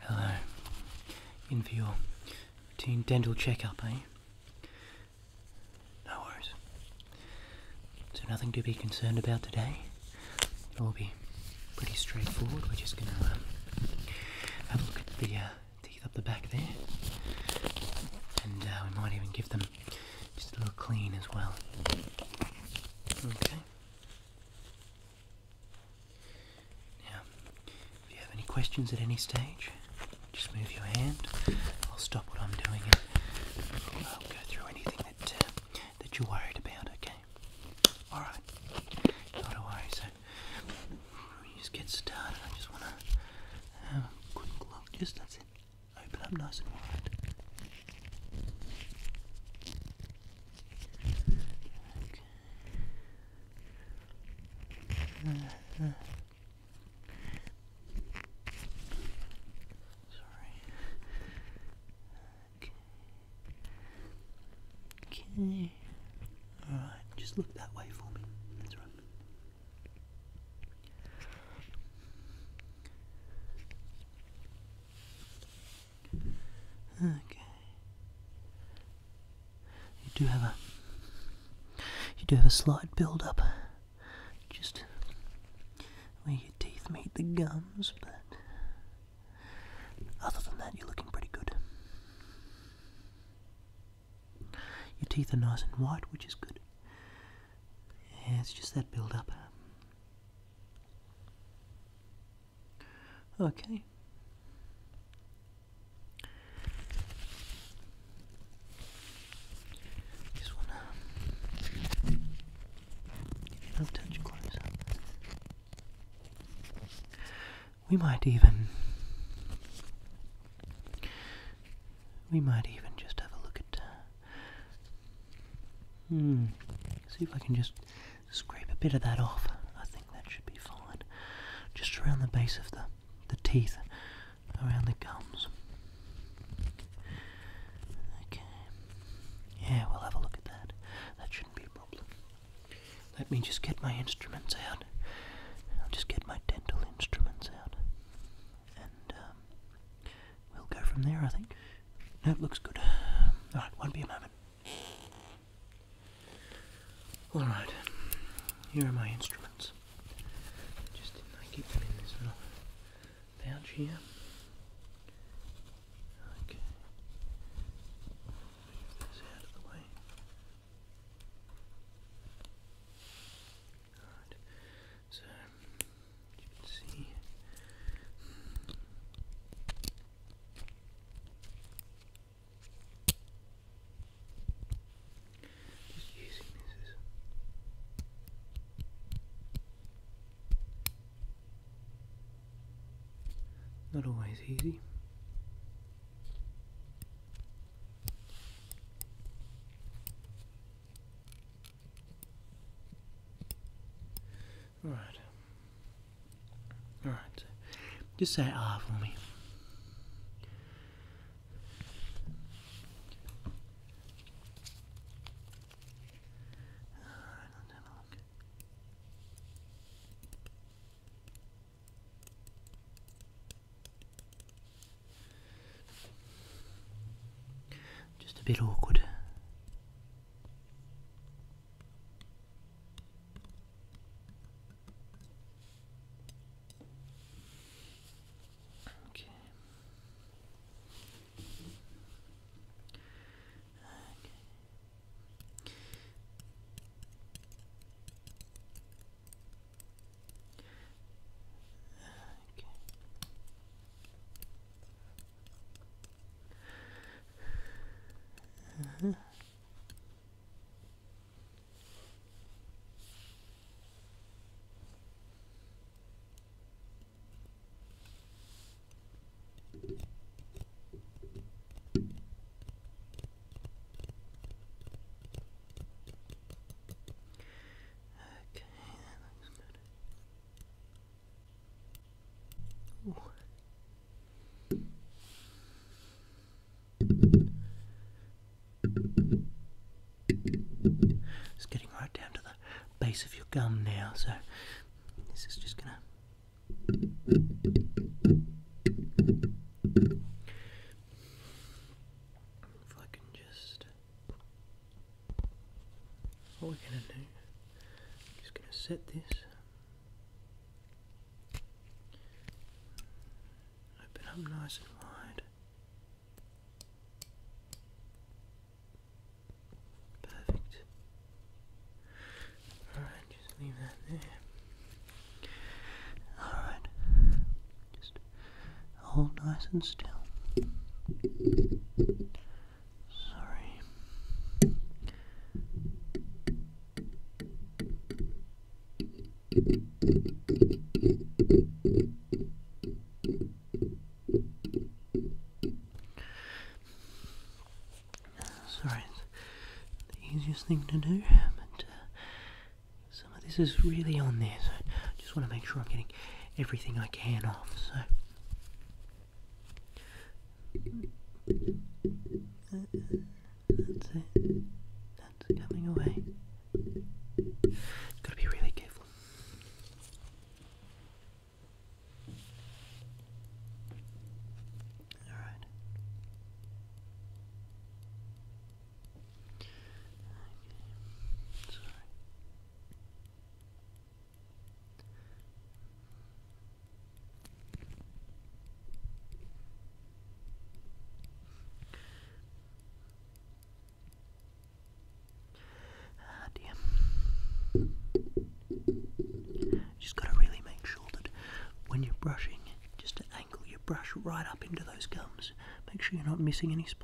Hello. In for your routine dental checkup, eh? No worries. So nothing to be concerned about today. It'll be pretty straightforward. We're just gonna um, have a look at the uh, teeth up the back there, and uh, we might even give them just a little clean as well. Okay. Now, if you have any questions at any stage, just move your hand. I'll stop what I'm doing and go through anything that uh, that you're worried about. Okay. All right. Not a worry. So we get started. I just wanna Just that's it. Open up nice and wide. Okay. Uh, Sorry. Okay. Okay. Alright, just look that way for me. That's right. Okay. You do have a you do have a slight build up just where your teeth meet the gums, but other than that you're looking pretty good. Your teeth are nice and white, which is good it's just that build up. Okay. Just wanna get a touch closer. We might even we might even just have a look at uh, Hmm. See if I can just scrape a bit of that off. I think that should be fine. Just around the base of the the teeth, around the gums. Okay. Yeah, we'll have a look at that. That shouldn't be a problem. Let me just get my instruments out. I'll just get my dental instruments out. And um, we'll go from there, I think. That looks good. Alright, won't be a moment. Alright, here are my instruments. Just didn't I keep them in this little pouch here? Okay. Move this out of the way. Alright. So see using this as not always easy. Alright. Alright. Just say ah for me. Just a bit awkward. Okay. okay. Okay. Uh -huh. Okay, it's getting right down to the base of your gum now, so this is just gonna. If I can just what we're going to do, I'm just going to set this, open up nice and wide. Perfect. Alright, just leave that there. Alright, just Hold nice and still. Sorry. Sorry, it's the easiest thing to do, but uh, some of this is really on there, so I just want to make sure I'm getting everything I can off. So that's it. That's coming away. Gotta be really careful. All right. Ah, Just got to really make sure that when you're brushing, just angle your brush right up into those gums. Make sure you're not missing any spots.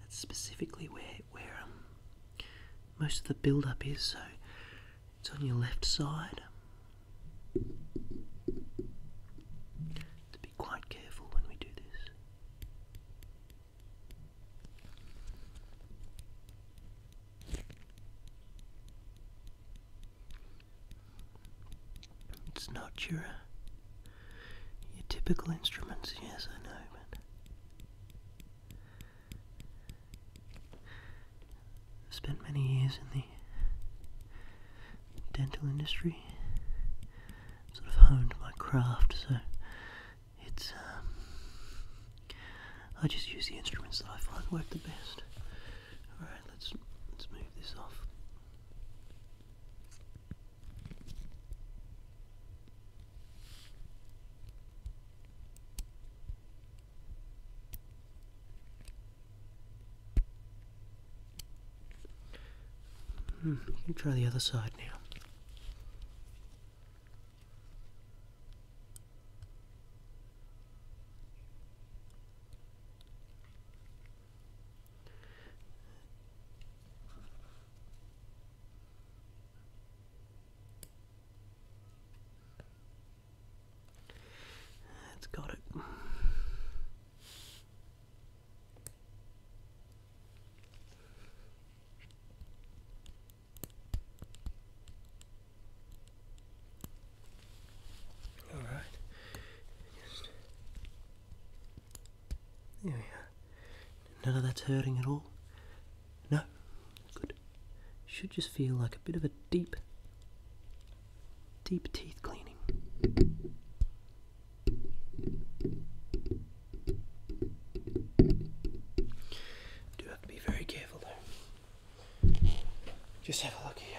That's specifically where where um, most of the build up is. So it's on your left side. To be quite careful when we do this. It's not your uh, your typical instruments, yes, I know, but. I spent many years in the dental industry. Sort of honed my craft, so it's. Um, I just use the instruments that I find work the best. Alright, let's let's move this off. Hmm, you try the other side now. That's got it. All right. There we are. None of that's hurting at all? No? Good. Should just feel like a bit of a deep, deep teeth cleaning. Do have to be very careful though. Just have a look here.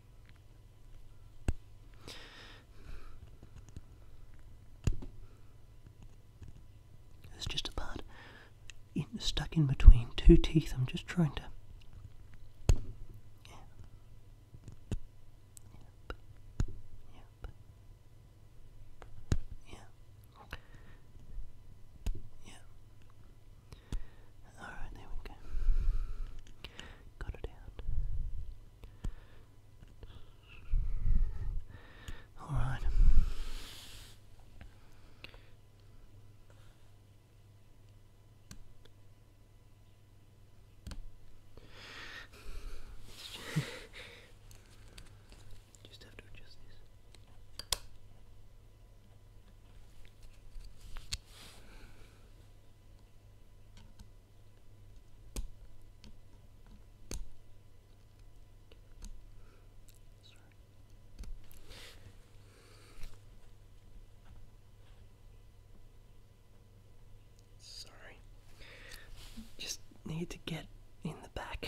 It's just a part stuck in between two teeth. I'm just trying to. Alright, there we go. Got it out. Alright. Just have to adjust this. Sorry. Just need to get in the back.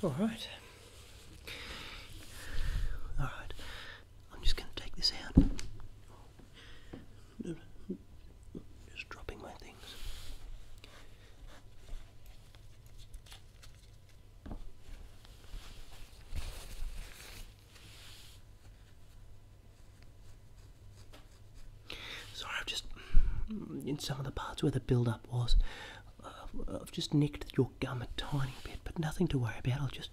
All right. All right. I'm just going to take this out. Just dropping my things. Sorry, I've just in some of the parts where the build-up was, uh, I've just nicked your gum a tiny bit, but nothing to worry about. I'll just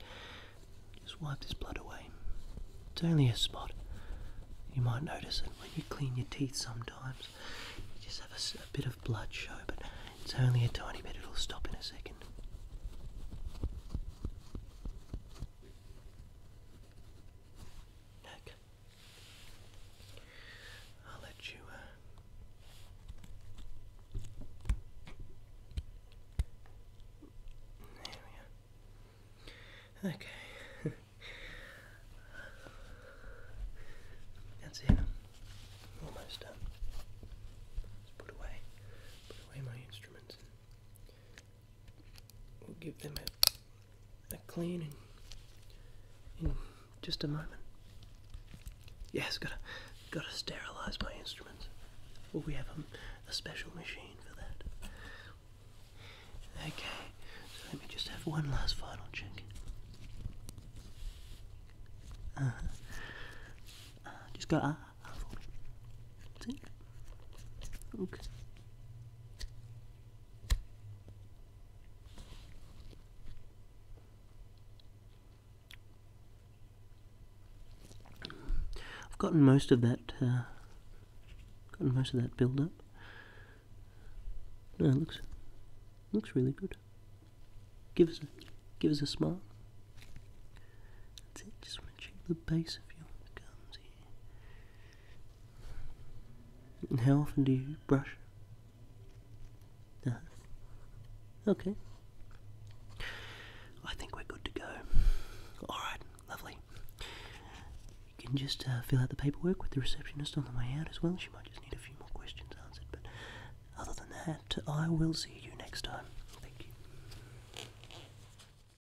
just wipe this blood away. It's only a spot. You might notice it when you clean your teeth sometimes. You just have a bit of blood show, but it's only a tiny bit. It'll stop in a second neck. I'll let you uh, there we are. Okay. That's it. Almost done. Let's put away put away my instruments We'll give them a, clean in, in just a moment. Yes, gotta, gotta sterilize my instruments. Well, we have a, special machine for that. Okay, let me just have one last final check. Uh-huh. Uh, just go uh, I've gotten most of that. Uh, gotten most of that build up. No, looks looks really good. Give us a give us a smile. That's it. Just want the base of your gums here how often do you brush? okay. I think we're good to go. Alright, lovely. You can just uh, fill out the paperwork with the receptionist on the way out as well. She might just need a few more questions answered, but other than that, I will see you next time. Thank you.